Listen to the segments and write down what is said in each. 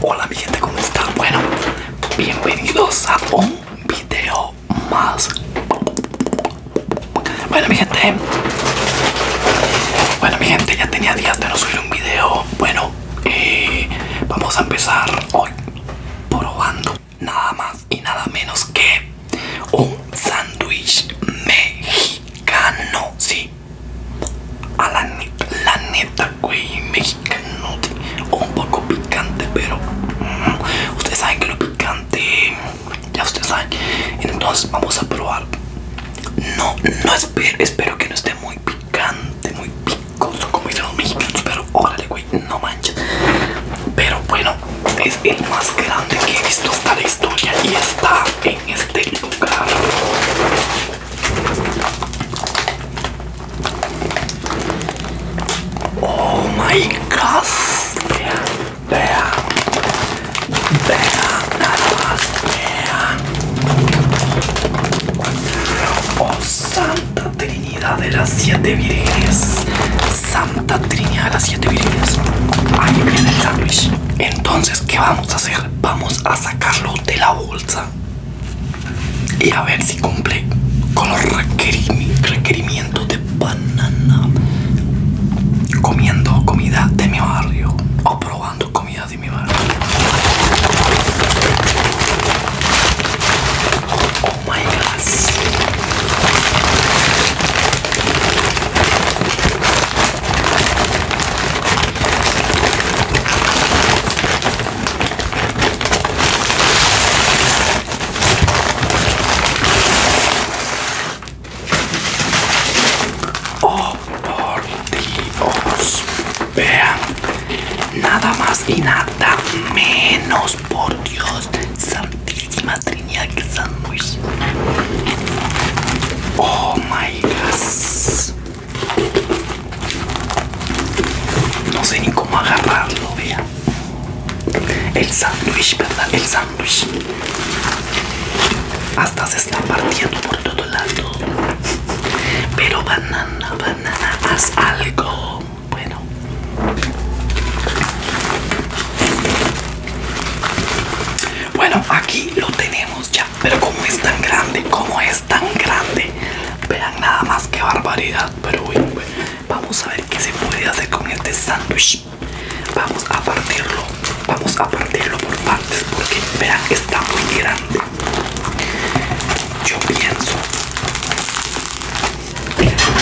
Hola mi gente, ¿cómo están? Bueno, bienvenidos a un video más. Bueno mi gente, bueno mi gente, ya tenía días de no subir un video. Bueno, eh, vamos a empezar hoy probando nada más y nada menos que un sándwich mexicano. Sí, a la, la neta, güey, mexicano, un poco picante, pero mm, ustedes saben que lo picante, ya ustedes saben. Entonces vamos a probar. No, no espero, espero que no esté muy picante, muy picoso como dicen los mexicanos, pero órale, güey, no manches. Pero bueno, es el más grande que he visto hasta la historia y está en este lugar. Oh my god, vea, vea, vean, nada más, vean. Oh Santa Trinidad de las Siete Virgenes Santa Trinidad de las Siete Virgenes Ahí viene el sandwich Entonces, ¿qué vamos a hacer? Vamos a sacarlo de la bolsa y a ver si cumple con los requerimientos de banana comiendo comida de mi barrio o probando comida de mi barrio oh my god Oh por Dios, vean nada más y nada menos por Dios, Santísima Trinidad que muy Oh my God. No sé ni cómo agarrarlo, vea. El sándwich, ¿verdad? El sándwich. Hasta se está partiendo por todo lado. Pero banana, banana, haz algo. Bueno. Bueno, aquí lo tenemos ya. Pero como es tan grande, como es tan grande. Vean nada más que barbaridad. Pero bueno, vamos a ver qué se puede hacer con este sándwich. Vamos a partirlo. Vamos a partirlo por partes porque vean está muy grande. Yo pienso.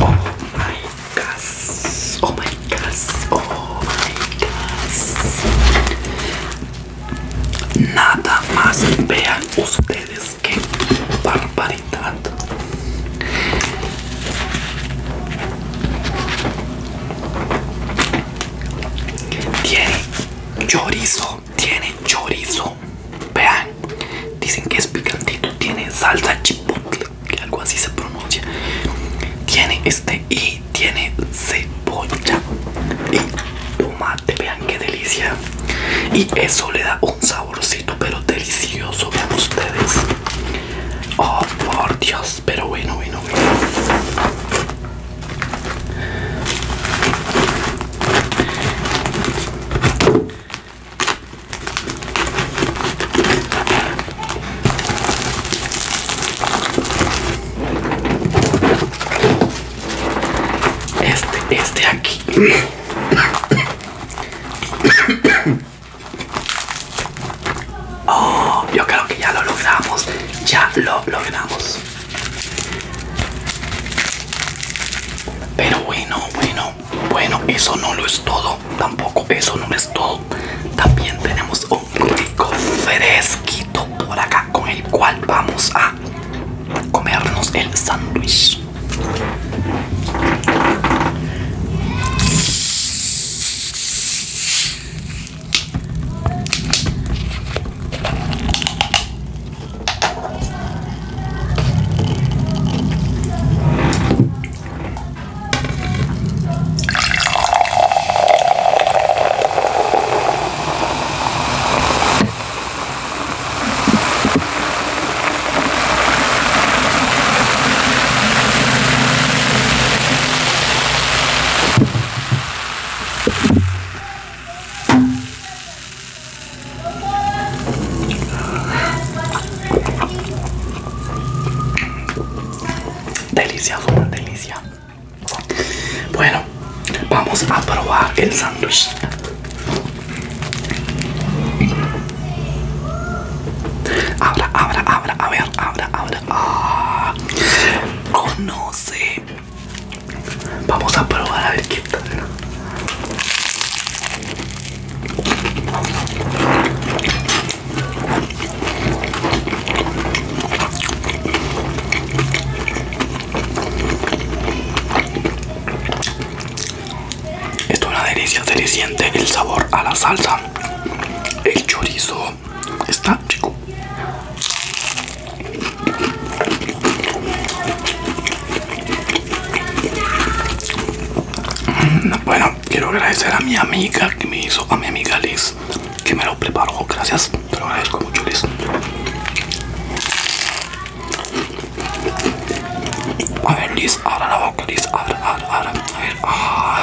Oh my gosh. Oh my gosh. Oh my gosh. Nada más vean ustedes qué barbaridad. Tiene chorizo, tiene chorizo. Vean, dicen que es picantito, tiene salsa chipotle, que algo así se pronuncia. Tiene este y tiene cebolla y tomate vean qué delicia y eso le da un saborcito pero delicioso vean ustedes oh por dios pero bueno bueno bueno este, este aquí. Oh, yo creo que ya lo logramos. Ya lo logramos. Pero bueno, bueno, bueno, eso no lo es todo. Tampoco eso no es todo. También tenemos un rico, fresquito por acá con el cual vamos a comernos el sándwich. Delicioso, delicia. Bueno, vamos a probar el sándwich. Abra, abra, abra, a ver, abra, abra. Ah, conoce. Vamos a probar a ver qué tal. Es una delicia, se le siente el sabor a la salsa. El chorizo está chico mm, Bueno, quiero agradecer a mi amiga que me hizo, a mi amiga Liz que me lo preparo, Gracias, te lo agradezco mucho, Liz. A ver, Liz, abra la boca, Liz, abra, abra, abra. A ver, ah,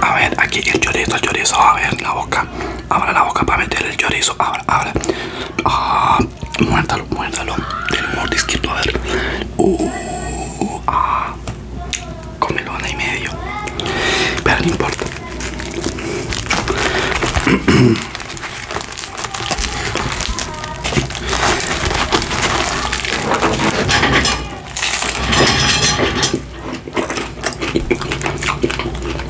A ver, aquí el chorizo, el chorizo, a ver, la boca. Abra la boca para meter el chorizo. Abra, abra. Ah, muértalo. El Tiene un a ver. Uh, ah. Cómelo una y medio. Pero no importa.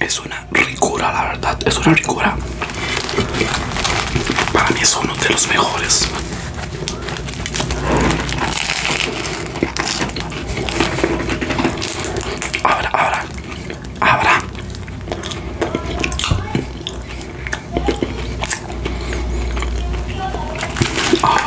es una ricura, la verdad, es una ricura. Para mí es uno de los mejores. Ahora, ahora, ahora. Ah.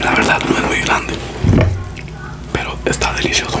La verdad no es muy grande, pero está delicioso.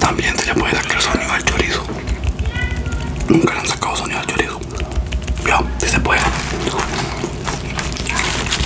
También se le puede sacar sonido al chorizo. Nunca le han sacado sonido al chorizo. Ya, si se puede.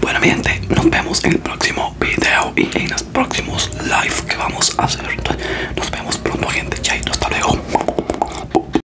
Bueno gente, nos vemos en el próximo video y en los próximos live que vamos a hacer. Nos vemos pronto gente, chaito, hasta luego.